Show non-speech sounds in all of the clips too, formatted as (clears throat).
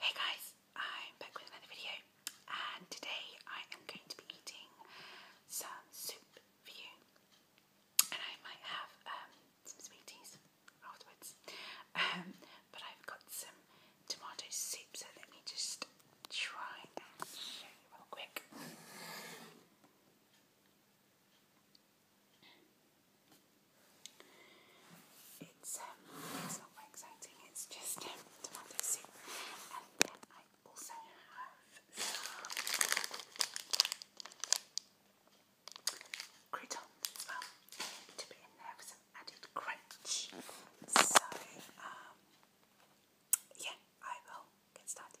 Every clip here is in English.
Hey guys, I'm back with another video and today I am going to be eating some soup for you and I might have um, some sweeties afterwards um, but I've got some tomato soup so let me just try and show you real quick. Um, it's not very exciting. It's just um, tomato soup, and then I also have some croutons as well to put for some added crunch. So um, yeah, I will get started.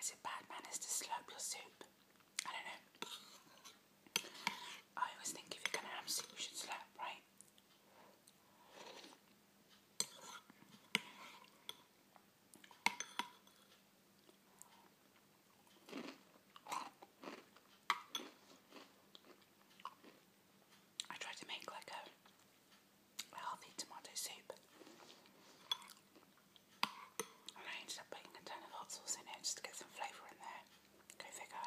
Is it bad manners to slurp your soup? I don't know. I always think if you're gonna have soup, you should slurp, right? I tried to make like a, healthy tomato soup. And I ended up putting a ton of hot sauce in it just to get some flavour in there. Go figure.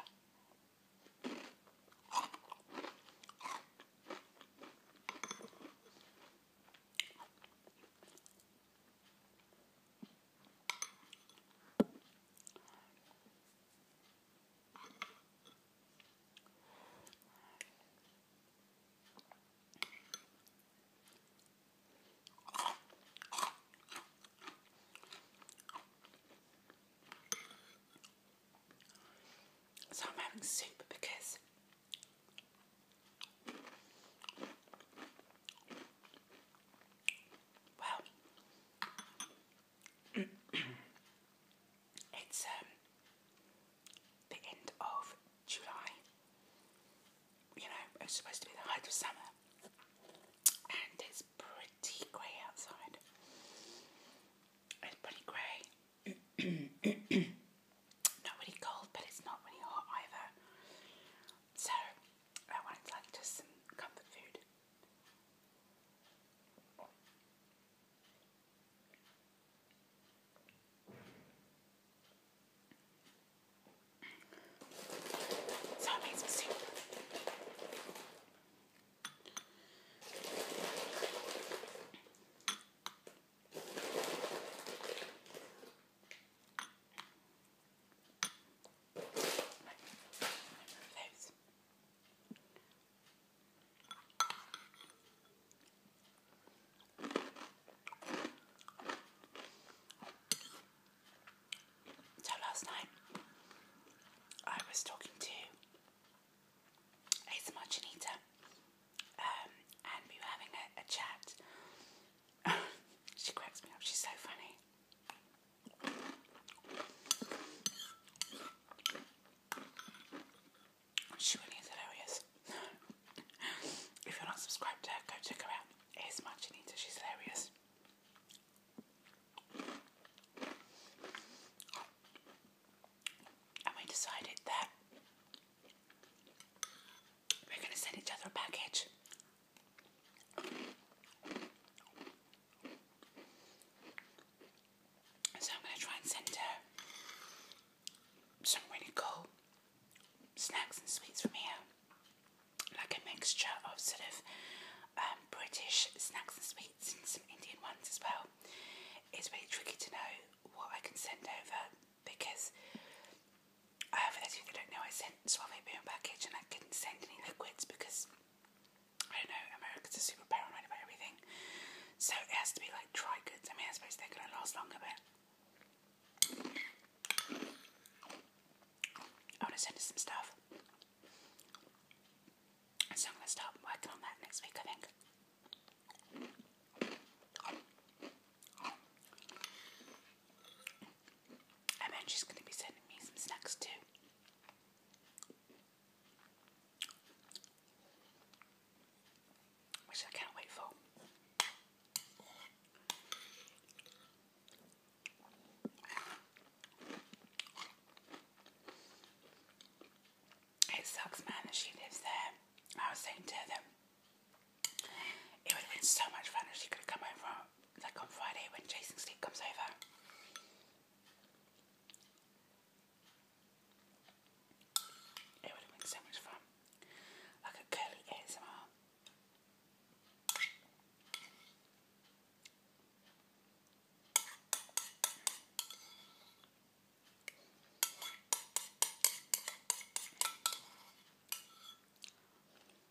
So I'm having soup because well, (clears throat) it's um, the end of July. You know, it's supposed to be the height of summer, and it's pretty grey outside. It's pretty grey. (clears throat) not really cold, but it's not really hot either so I wanted like just some comfort food. So I soup. So last night I was talking to ASMR Janita um, and we were having a chat. (laughs) she cracks me up, she's so funny. Shawnee's hilarious. if you're not subscribed to her, go check her out. It's Marginita, she's hilarious. And we decided that we're going to send each other a package so I'm going to try and send her some really cool snacks and sweets from here. Like a mixture of sort of um, British snacks and sweets and some Indian ones as well. It's really tricky to know what I can send over because uh, for those of you that don't know, I send sent Suave Boom package and I couldn't send any liquids because I don't know, America's are super paranoid about everything. So it has to be like dry goods. I mean, I suppose they're going to last longer, but I want to send her some stuff. So I'm going to start working on that next week, I think. I then she's going to be sending me some snacks too. Which I can't wait for. It sucks, man, that she lives there. I was saying to them, it would have been so much fun if she could have come over like on Friday when Jason Steve comes over. It would have been so much fun. Like a curly ASMR.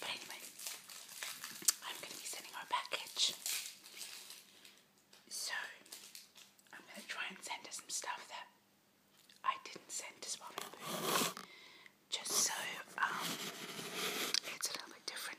But anyway, I'm going to be sending our package. So, I'm going to try and send her some stuff that I didn't send to Swapping Just so um, it's a little bit different.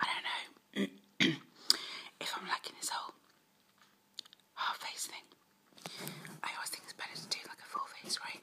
I don't know (clears throat) if I'm liking this whole half face thing. I always think it's better to do like a full face, right?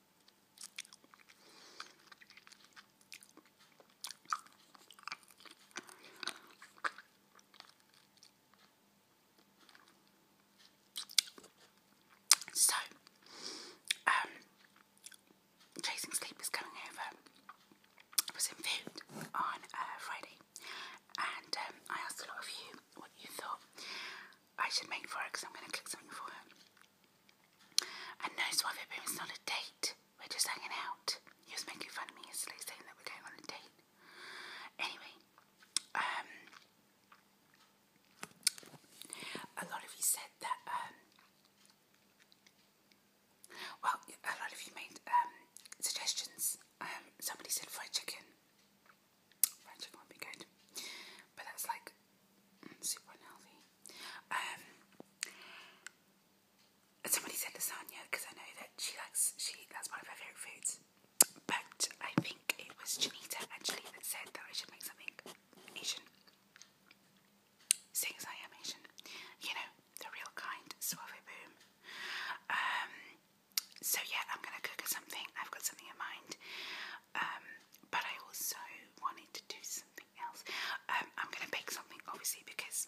So, um, Chasing Sleep coming over for some food on uh, Friday, and um, I asked a lot of you what you thought I should make for her because I'm going to cook something for her. And no suave boom, it's not a date. We're just hanging out. You was making fun of me yesterday saying that we're going on a date. Anyway, um, a lot of you said that, um, well, a lot of you made um, suggestions. Um, somebody said fried chicken. Fried chicken would be good. But it's like super unhealthy. Um, somebody said lasagna because I know that she likes she that's one of her favorite foods. But I think it was Janita actually that said that I should make something Asian. Seeing as I am Asian, you know the real kind, suave boom. Um, so yeah, I'm gonna cook something. I've got something in mind. Um, but I also wanting to do something else. Um, I'm going to bake something, obviously, because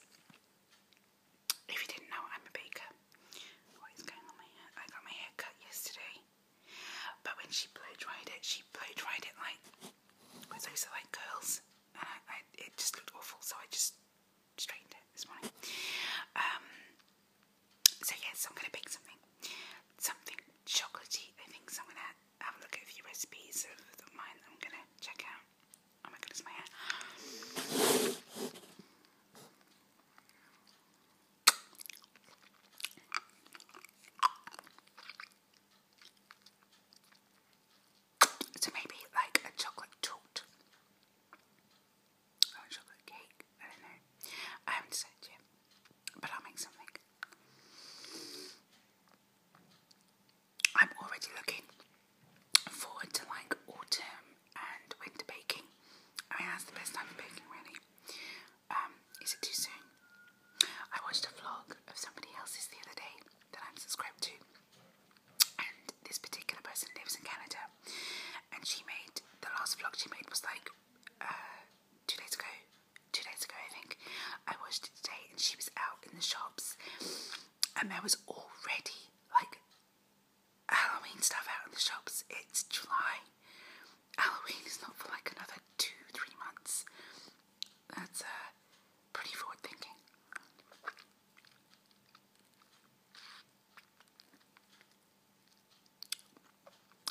if you didn't know, I'm a baker. What is going on my hair? I got my hair cut yesterday, but when she blow dried it, she blow dried it like with also like curls, and I, it just looked awful, so I just straightened it this morning. Um, so yes, I'm going to bake something, something chocolatey. I think so. I'm going to have a look at a few recipes of, of mine that I'm gonna check out. Oh my goodness, my hair. So maybe like a chocolate torte chocolate cake. I don't know. I haven't decided yet. But I'll make something. I'm already looking forward to like autumn and winter baking. I mean, the best time for baking, really. Um, is it too soon? I watched a vlog of somebody else's the other day that I'm subscribed to, and this particular person lives in Canada, and she made the last vlog she made was like uh, two days ago, two days ago I think, I watched it today and she was out in the shops and there was already like Halloween stuff out in the shops. It's July. Halloween is not for like another two, three months. That's uh, pretty forward thinking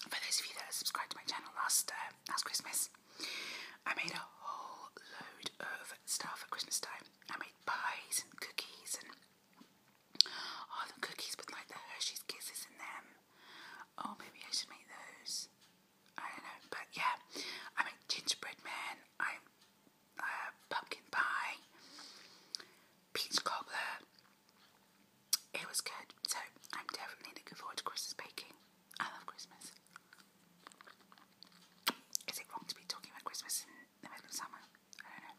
for those of you that subscribed to my channel last uh, last Christmas, I made a whole load of stuff for Christmas time. I made pies and cookies and oh, the cookies with like the Hershey's Kisses in them. Oh, maybe I should make those. I don't know, but yeah, I made gingerbread man. I uh, pumpkin pie, peach cobbler. It was good, so I'm definitely looking forward to Christmas baking. I love Christmas. Is it wrong to be talking about Christmas in the middle of summer? I don't know.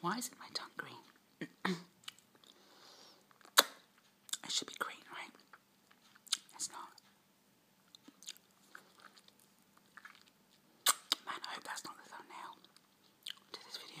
Why is it my tongue green? (clears throat) it should be green, right? It's not. Man, I hope that's not the thumbnail to this video.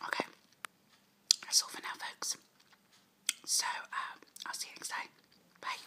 Okay, that's all for now, folks. So, uh, I'll see you next time. Bye.